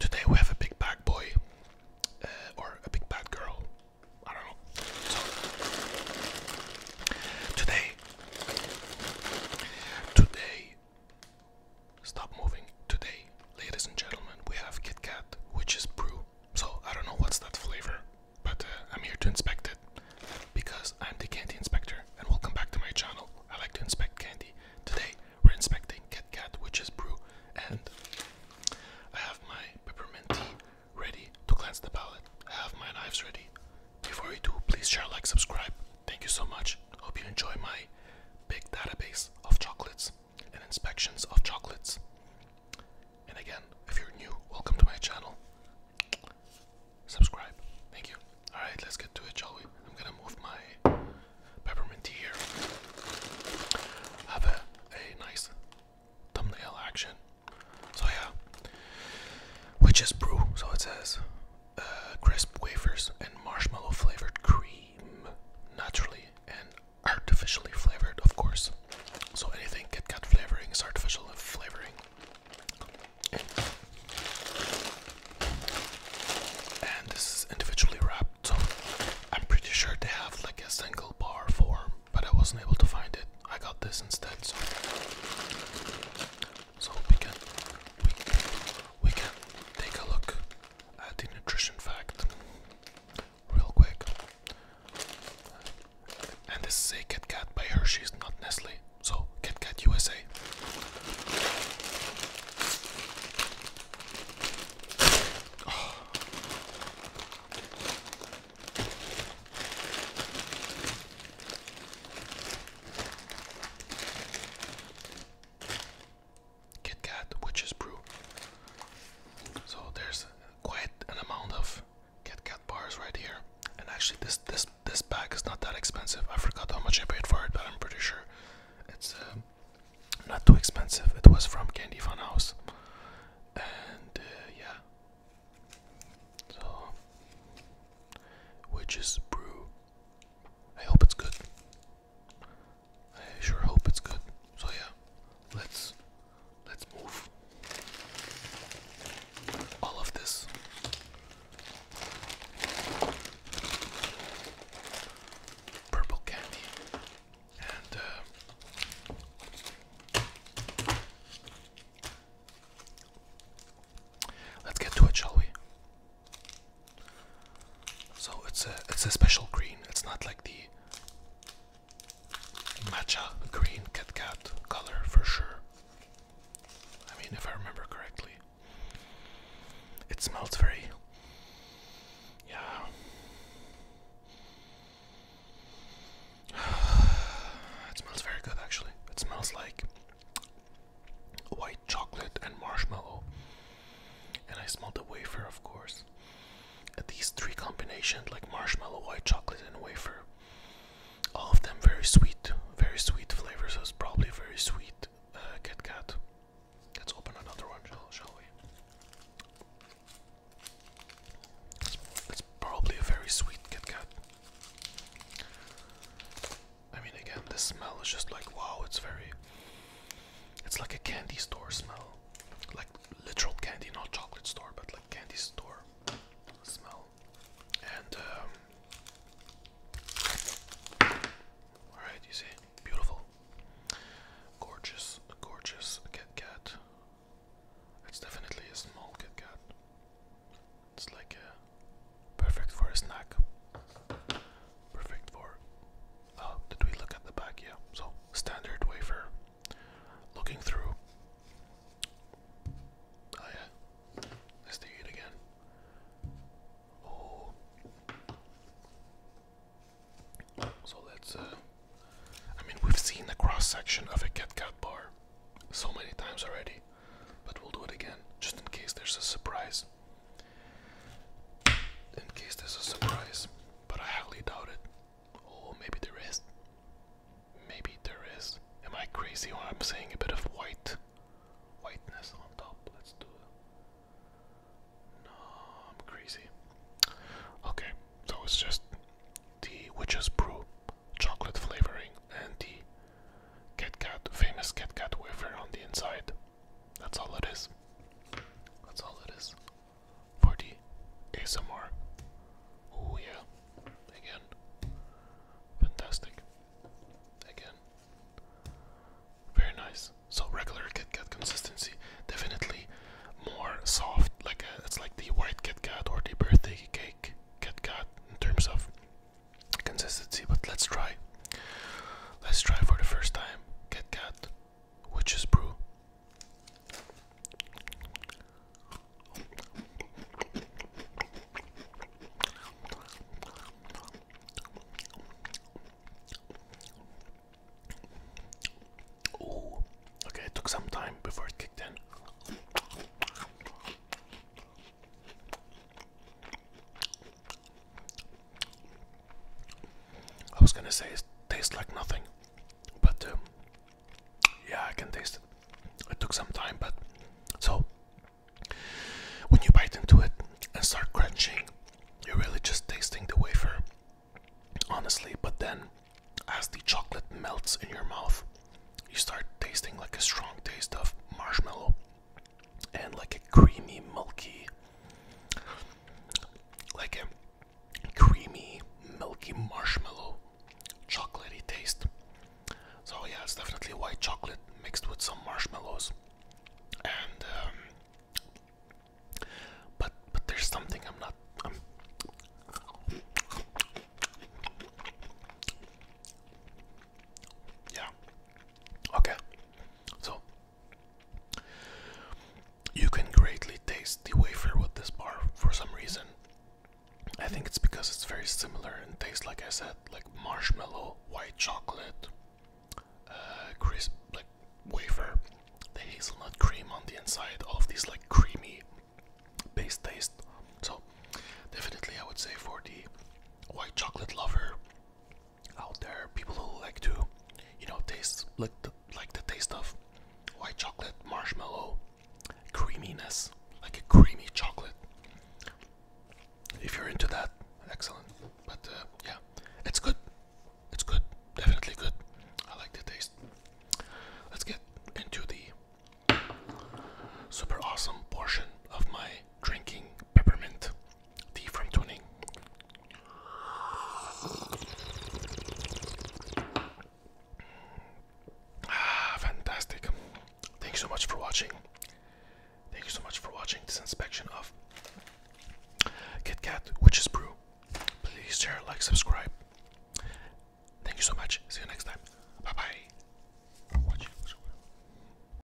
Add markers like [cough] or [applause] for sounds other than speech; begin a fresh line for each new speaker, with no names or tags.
Today we have a big bad boy uh, or a big bad girl. I don't know. today, today, stop moving. Today, ladies and gentlemen, we have KitKat, which is brew. So I don't know what's that flavor but uh, I'm here to inspect it because I'm the candy inspector. And welcome back to my channel. I like to inspect candy. Today we're inspecting Kit Kat is Brew, and I have my peppermint tea ready to cleanse the palate. I have my knives ready. Before you do, please share, like, subscribe. Thank you so much. Hope you enjoy my big database of chocolates and inspections of chocolates. And again, if you're new, welcome to my channel. Subscribe. Thank you. Alright, let's get to it, shall we? I'm gonna move my peppermint tea here. Have a, a nice thumbnail action. So, yeah. which is Brew. So it says uh, crisp wafers and marshmallow flavored cream. Naturally and artificially flavored, of course. So anything Kit got flavoring is artificial flavoring. And this is individually wrapped, I'm pretty sure they have like a single bar form, but I wasn't able to find it. I got this instead, so so we can we, can we can take a look at the nutrition fact real quick. And this is a Kit Kat by Hershey's, not Nestle. So Kit Kat USA. Kit Kat Witch's Brew. So there's quite an amount of Kit Kat bars right here. And actually, this this this bag is not that expensive. I forgot how much I paid for it, but I'm pretty sure it's um, not too expensive. It was from Candy Fun House, and uh, yeah. So, is brew. I hope it's good. I sure hope it's good. So yeah, let's Let's move all of this. Purple candy and uh, let's get to it, shall we? So it's a it's a special green. It's not like the matcha green Kit Kat color for sure. I mean, if I remember correctly, it smells very, yeah. [sighs] It smells very good actually. It smells like white chocolate and marshmallow. And I smell the wafer, of course. At these three combinations like marshmallow, white chocolate, and wafer. All of them very sweet, very sweet flavors. It's probably very sweet uh, Kit Kat. Let's open another one, shall, we? It's, probably a very sweet Kit Kat. I mean, again, the smell is just like wow. It's very. It's like a candy store smell, like literal candy, not chocolate store, but like candy store smell. And um, all right, you see, beautiful, gorgeous, gorgeous Kit Kat. It's definitely a small Kit Kat. It's like perfect for a snack, perfect for uh, did we look at the back? Yeah. So standard wafer. Looking through. Oh yeah. Let's do it again. Oh. So that's. Uh, I mean, we've seen the cross section of a KitKat bar so many times already, but we'll do it again just in case there's a surprise. In case there's a surprise but I highly doubt it. Oh, maybe there is. Maybe there is. Am I crazy or I'm seeing a bit of white? Whiteness on top. Let's do it. No, I'm crazy. Okay, so it's just the Witch's Brew chocolate flavoring and the Kit Kat, famous Kit Kat wafer on the inside. That's all it is. That's all it is. 4D ASMR. Oh yeah. Again. Fantastic. Again. Very nice. So regular Kit Kat consistency, definitely more soft. Like uh, it's like the white Kit Kat or the birthday cake Kit Kat in terms of consistency. But let's try. Let's try for the first time Kit Kat which is brew. Oh, okay, it took some time before it kicked in. I was gonna say it tastes like nothing, but um, yeah, I can taste it. It took some time, but so when you bite into it and start crunching, you're really just tasting the wafer, honestly. But then, as the chocolate melts in your mouth, you start tasting like a strong taste of marshmallow and like a creamy, milky, like a creamy, milky marshmallow chocolatey taste. So, yeah, it's definitely white chocolate mixed with some marshmallows. And, um, but, but there's something I'm not. yeah. Okay. So you can greatly taste the wafer with this bar for some reason. I think it's because it's very similar and tastes, like I said, like marshmallow, white chocolate, uh, crisp, like wafer, the hazelnut cream on the inside, all of these like creamy base taste. So, definitely, I would say for the white chocolate lover, out there, people who like to, you know, taste like the, like the taste of white chocolate, marshmallow, creaminess, like a creamy chocolate. If you're into that, excellent. But uh, yeah, it's good. It's good, definitely good. I like the taste. Let's get into the super awesome portion of my drinking peppermint Tea Ah, fantastic. Thank you so much for watching. Thank you so much for watching this inspection of KitKat which is Brew. Please share, like, subscribe. Thank you so much. See you next time. Bye bye.